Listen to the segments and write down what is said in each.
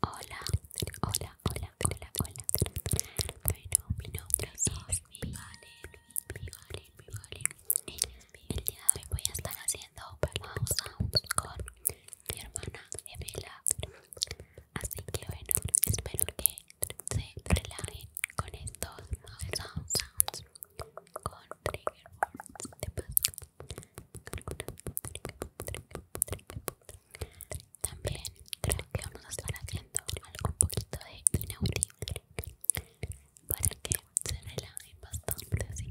Hola, hola, hola, hola, hola. Bueno, mi nombre es Mi Valen, Mi Valen, Mi Valen. El día de hoy voy a estar haciendo Mouse Sounds con mi hermana Emela. Así que bueno, espero que se relajen con estos Mouse Sounds con trigger words de Pascua. También creo que vamos a estar haciendo algo un poquito de inaudible para que se relaje bastante, así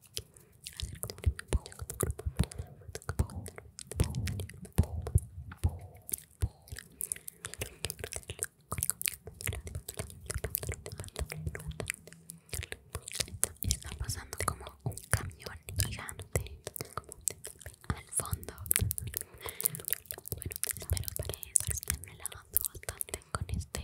Está pasando como un camión gigante al fondo. Bueno, espero que estén relajando bastante con este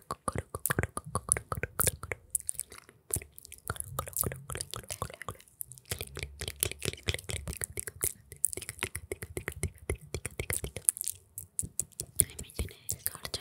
Ay, me Tengo ahora